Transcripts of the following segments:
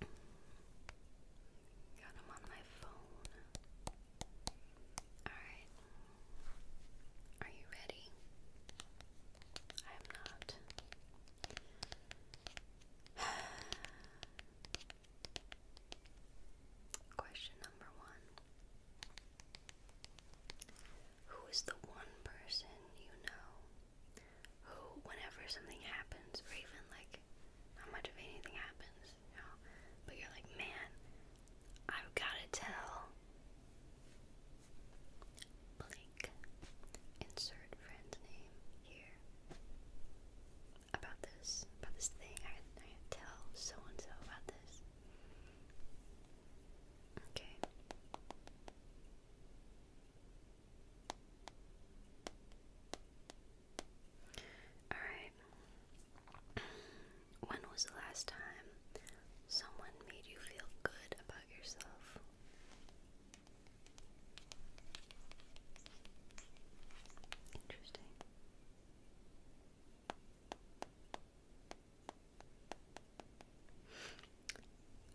Got them on my phone. Alright. Are you ready? I am not. Question number one Who is the one person you know who, whenever something happens, or even like not much of anything happens, you know, but you're like, man, I've gotta tell. Blank. Insert friend's name here. About this, about this thing. I I tell so and so about this. Okay. Alright. When was the last time someone made you feel good about yourself? Interesting.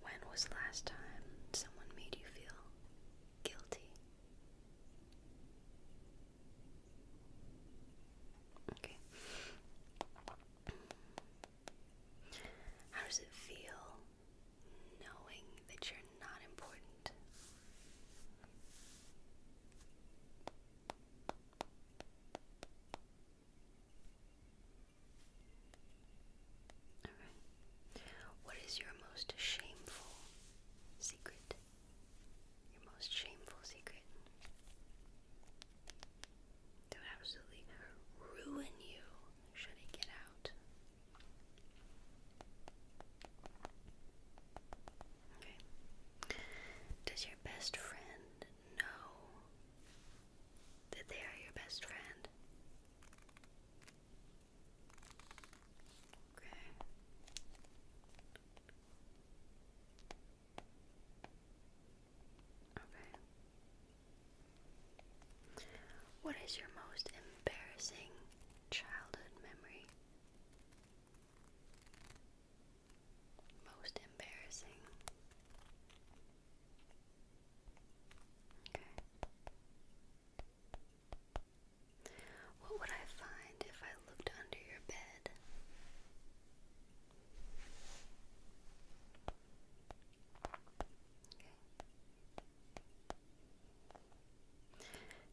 When was the last time someone made you feel guilty? Okay. How does it feel knowing that you're not important? What is your most shameful secret? Your most shameful secret that would absolutely ruin you should it get out. Okay. Does your best friend know that they are your best friend. Okay. Okay. What is your most embarrassing childhood memory? Most embarrassing. Okay. What would I find if I looked under your bed? Okay.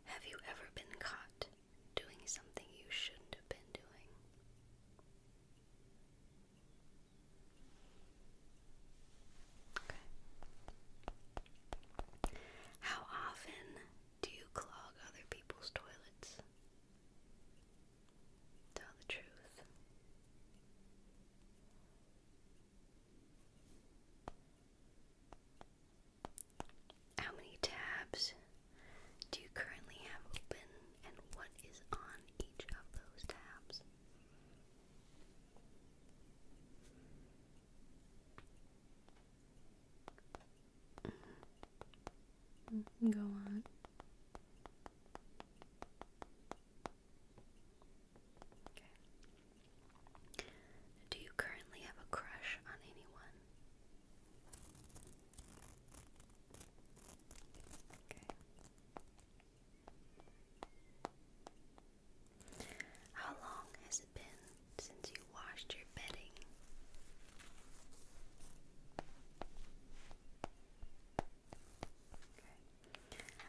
Have you ever been caught doing something you shouldn't have been doing. Okay. How often do you clog other people's toilets? Tell the truth. How many tabs do you currently have open and what is on each of those tabs? Mm -hmm. Go on. Okay. Do you currently have a crush on anyone? How long has it been since you washed your bedding?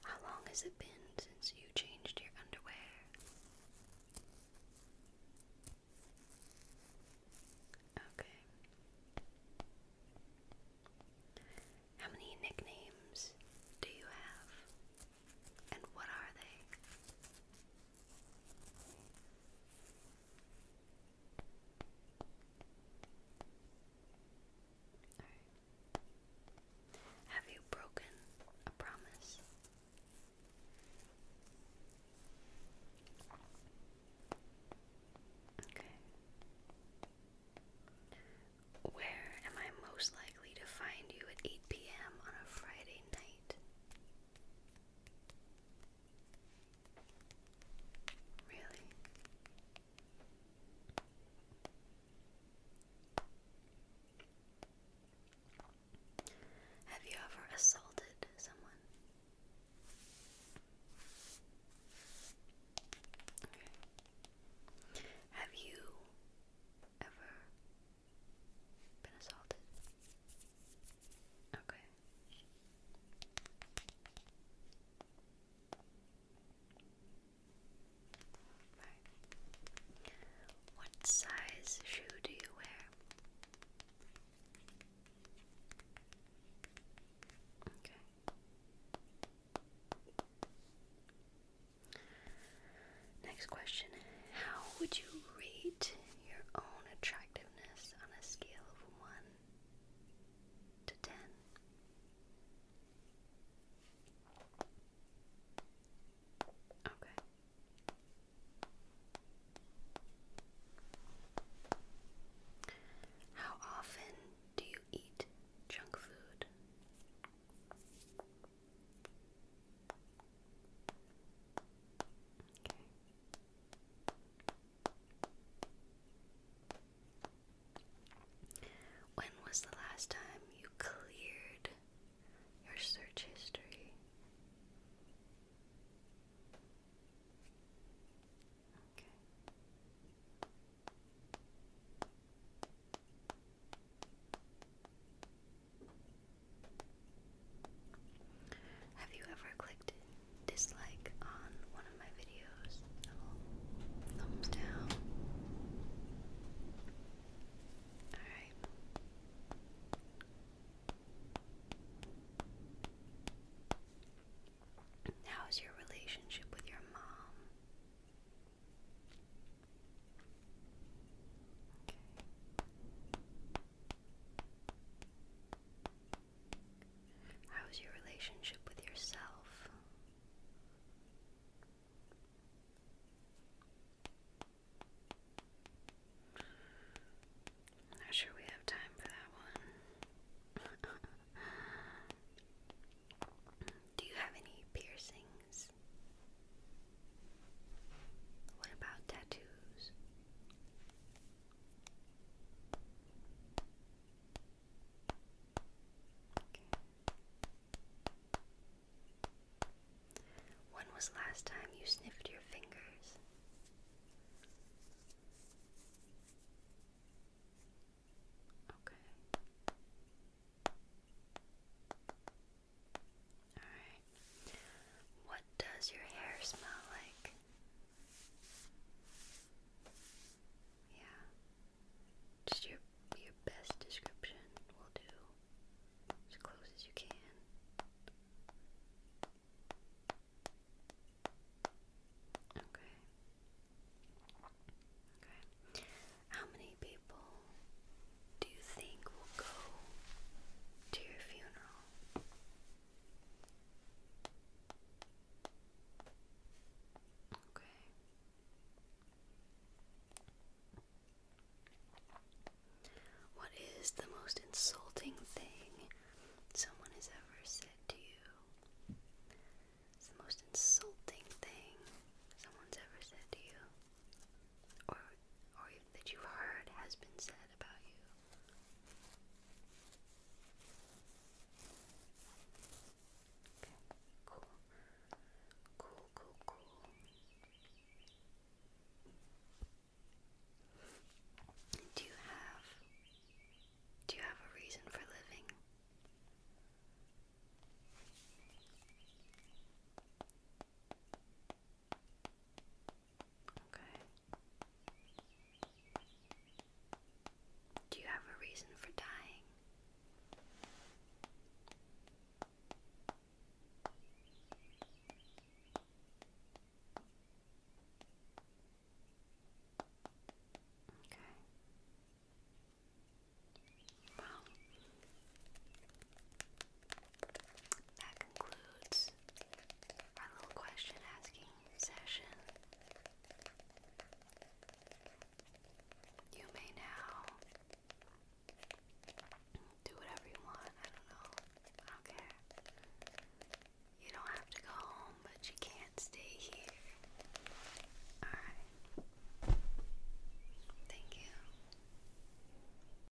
How long has it been since you changed your underwear? Okay. How many nicknames do you have? And what are they? Have you broken a promise? Where am I most likely to find you at 8 p.m. on a Friday night? Really? Have you ever assaulted someone? Have you ever been assaulted? Okay. What size shoe do you wear? Okay. Next question. How would you rate your own attractiveness on a scale of 1 to 10? Okay. How often do you eat junk food? Okay. When was the last time you cleared your search history? Have you ever clicked dislike on one my videos, thumbs down. Alright. How's your relationship with your mom? Okay. How's your relationship with yourself? i not sure we have time for that one. Do you have any piercings? What about tattoos? When was last time you sniffed your fingers? Okay. Alright. What does your hair smell like? Yeah. Just your your best description will do. As close as you can. Okay. Okay. How many people do you think will go to your funeral? Okay. What is the most insulting thing someone has ever said to you? It's the most insulting thing someone's ever said to you, or or that you've heard has been said about you. Okay, cool. Cool, cool, cool. Do you have do you have a reason for living? Okay. Do you have a reason for dying? Okay. Well, that concludes our little question asking session. You may now do whatever you want. I don't know. I don't care. You don't have to go home, but you can't stay here. Alright. Thank you.